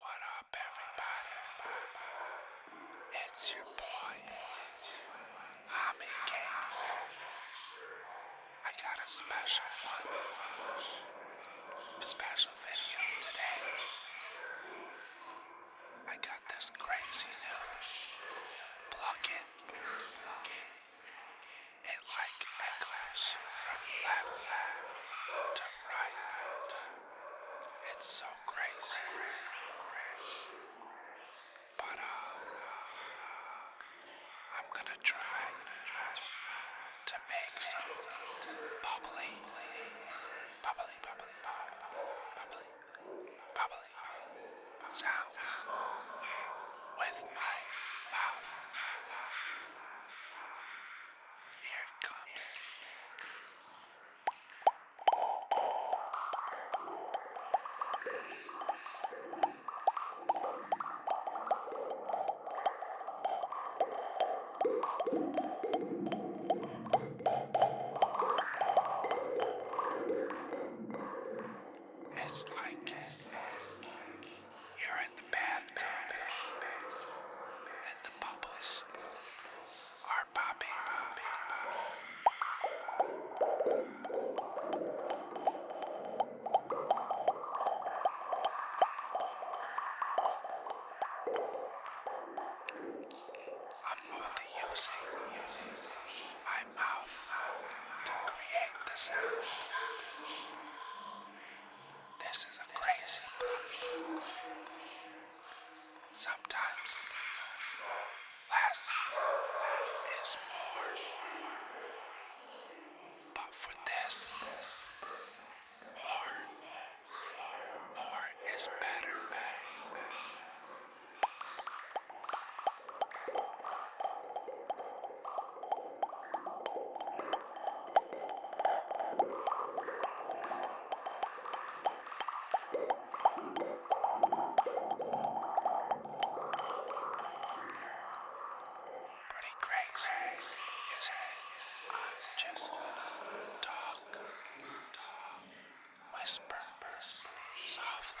What up, everybody? It's your boy, Hami King. I got a special one, special video today. I got this crazy new plugin. It like echoes from left to right? It's so crazy. But um, I'm gonna try to make some bubbly, bubbly, bubbly sounds with my mouth. Here it comes. It's like it. You're in the bathtub, and the bubbles are popping. I'm only using my mouth to create the sound. This is a crazy thing. Sometimes less is more. But for this, more, more is better. Pretty crazy, isn't it? I'm just gonna talk, talk, whisper, softly,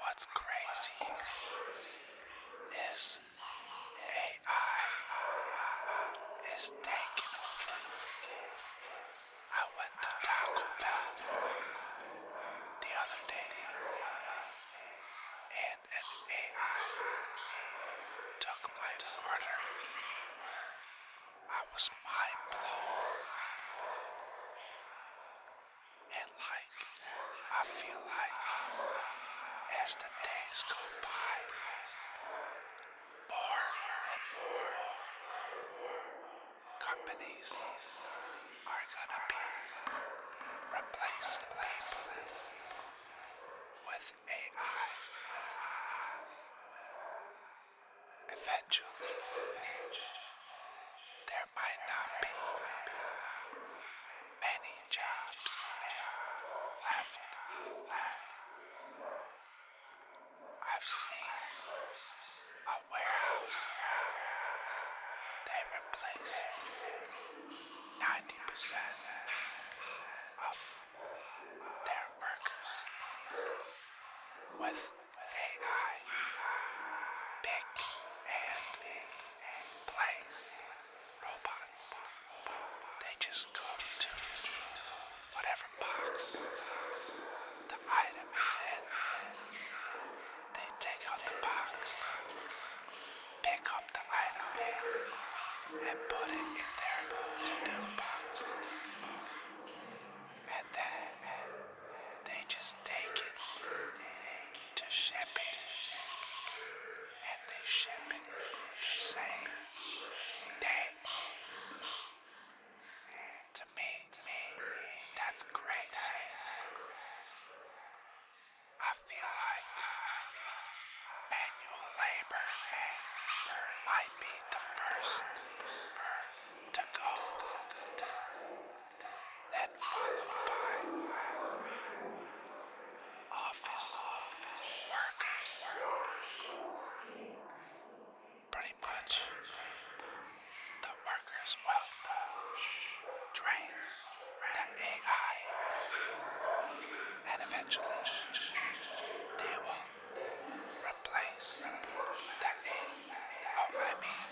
What's crazy is AI is taking over. I went to Taco Bell the other day and an AI took my order. I was mind blown. And like, I feel like as the days go by, more and more companies are gonna be replacing people with AI there might not be many jobs left. I've seen a warehouse. They replaced 90% of their workers with AI pick and place robots. They just go to whatever box the item is in. They take out the box, pick up the item, and put it in their to-do box. And then they just take it to shipping. And they ship it the same day. To me, that's grace. I feel like manual labor might be the first to go, then followed by office workers. Pretty much the workers will train the AI and eventually they will replace the oh, I mean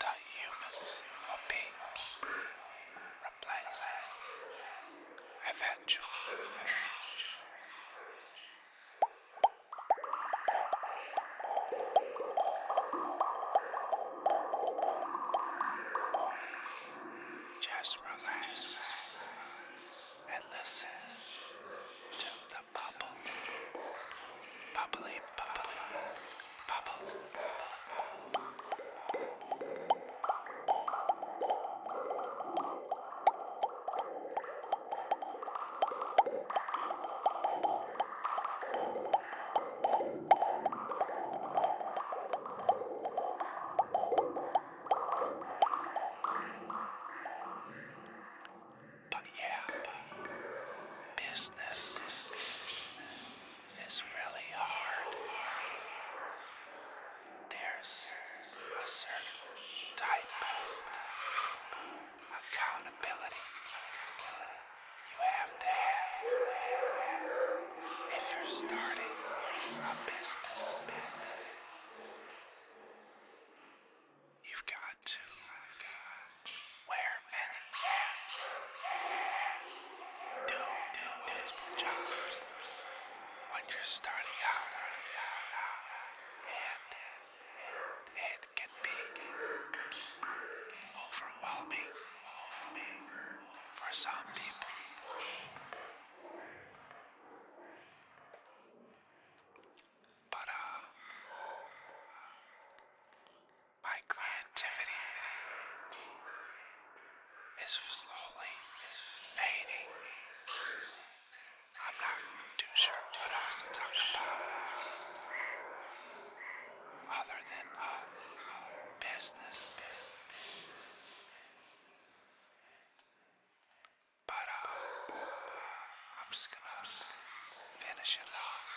the humans will be replaced eventually. Just relax and listen to the bubbles. Bubbly, bubbly, bubbles. But yeah, business is really hard. There's a certain type of accountability you have to have. If you're starting a business, you've got to wear many hats, do multiple jobs when you're starting out, and it can be overwhelming for some people. But, uh, my creativity is slowly fading. I'm not too sure what else to talk about other than uh, business. But uh, I'm just gonna finish it off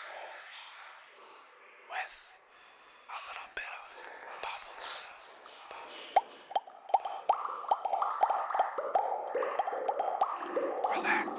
with a little bit of bubbles. Relax,